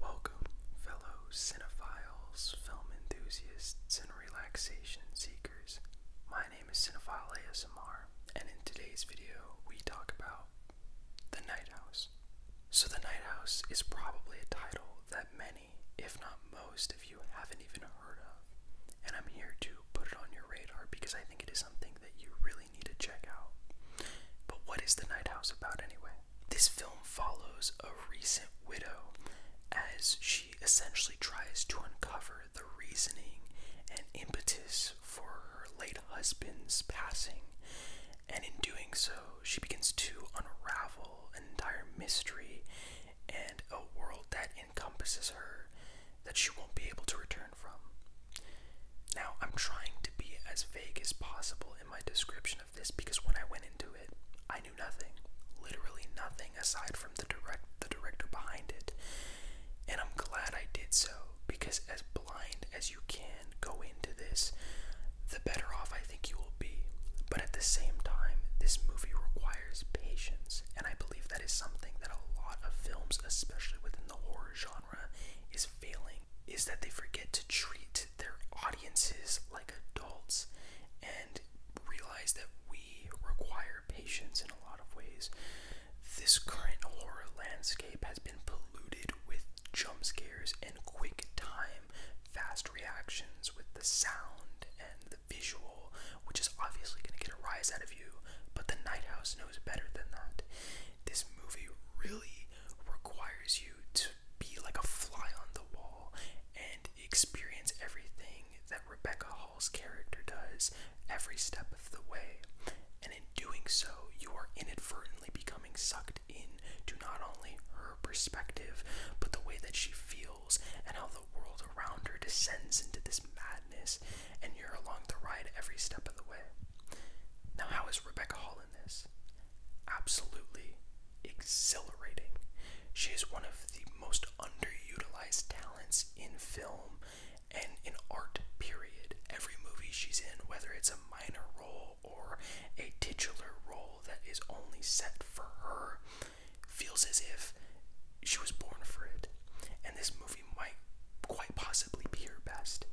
Welcome, fellow cinephiles, film enthusiasts, and relaxation seekers. My name is Cinephile ASMR, and in today's video, we talk about The Night House. So, The Night House is probably a title that many, if not most, of you haven't even heard of, and I'm here to put it on your radar because I think it is something that you really need to check out. But what is The Night House about anyway? This film follows a recent widow as she essentially tries to uncover the reasoning and impetus for her late husband's passing, and in doing so, she begins to unravel an entire mystery and a world that encompasses her that she won't be able to return now, I'm trying to be as vague as possible in my description of this because when I went into it, I knew nothing. Literally nothing aside from the direct the director behind it. And I'm glad I did so because as blind as you can go into this, the better off I think you will be. But at the same time, this movie requires patience, and I believe that is something that a lot of films, especially within the horror genre, is failing is that they forget to treat their audiences like adults and realize that we require patience in a lot of ways. This current horror landscape has been polluted with jump scares and quick time, fast reactions with the sound and the visual which is obviously going to get a rise out of you, but the Nighthouse knows better than that. This movie really requires you to be like a fly on the wall and experience everything that Rebecca Hall's character does every step of the way. And in doing so, you are inadvertently becoming sucked in to not only her perspective, but the way that she feels and how the world around her descends into this madness and you're along the ride every step of the way. Now, how is Rebecca Hall in this? Absolutely exhilarating. She is one of the most underutilized talents in film and in art, period. Every movie she's in, whether it's a minor role or a titular role that is only set for her, feels as if she was born for it. And this movie might quite possibly be her best.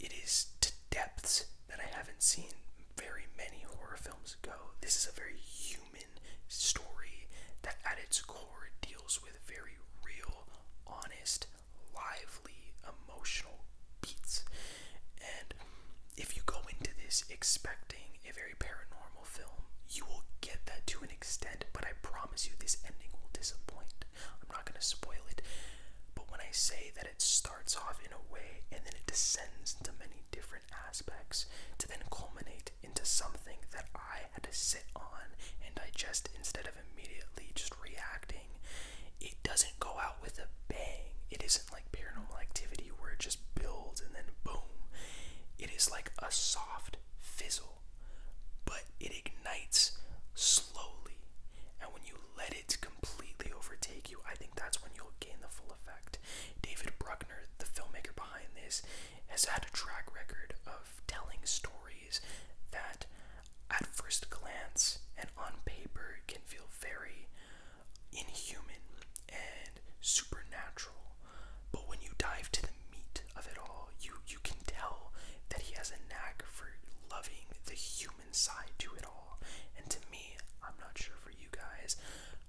It is to depths that I haven't seen very many horror films go. This is a very human story that, at its core, deals with very real, honest, lively, emotional beats. And if you go into this expecting a very paranormal, film. You will get that to an extent, but I promise you this ending will disappoint. I'm not going to spoil it, but when I say that it starts off in a way and then it descends into many different aspects to then culminate into something that I had to sit on and digest instead of immediately just reacting, it doesn't go out with a bang. It is like paranormal activity where it just builds and then boom. It is like a soft fizzle, but it ignites slowly. And when you let it completely overtake you, I think that's when you'll gain the full effect. David Bruckner, the filmmaker behind this, has had a track record of telling stories that at first glance and on paper can feel very inhuman and supernatural. But when you dive to the meat of it all, you you can tell that he has a knack for loving the human side to it all. And to me, I'm not sure for you guys,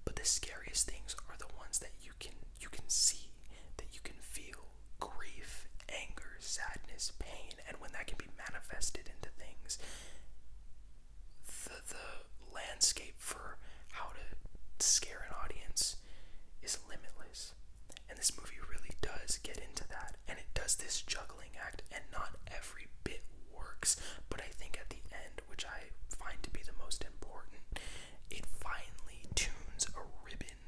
but the scariest things are the ones that you can you can see, that you can feel grief, anger, sadness, pain, and when that can be manifested into things, the the landscape for how to scare an audience is limitless. And this movie really does get into that. And it does this juggling act, and not every bit works. But I think at the end, which I find to be the most important, it finally tunes a ribbon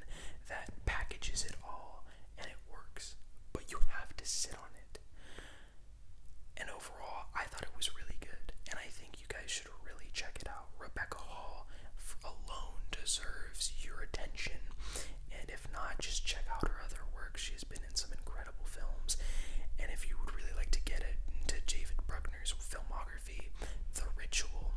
that packages it all and it works. But you have to sit on it. And overall, I thought it was really good, and I think you guys should really check it out. Rebecca Hall alone deserves your attention, and if not, just check out her other work. She's been in some incredible films, and if you would really like to get it into David Bruckner's filmography, The Ritual,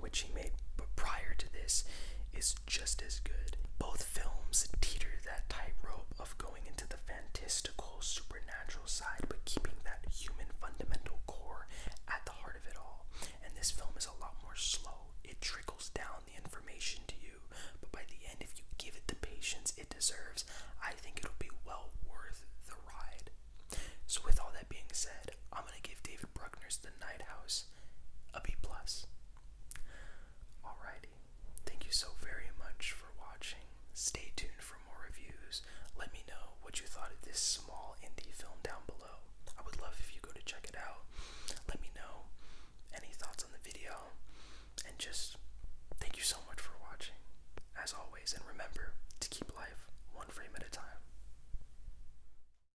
which he made prior to this, is just as good. Both films teeter that tightrope of going into the fantastical, supernatural side, but keeping that human fundamental core at the heart of it all. And this film is a lot more slow. It trickles down the information to you, but by the end, if you give it the patience it deserves, I think it'll be well worth the ride. So, with all that being said, I'm gonna give David Bruckner's The Night House a B plus. Alrighty. Thank you so very much for watching. Stay tuned for more reviews. Let me know what you thought of this small indie film down below. I would love if you go to check it out. Let me know any thoughts on the video. And just thank you so much for watching. As always, and remember to keep life one frame at a time.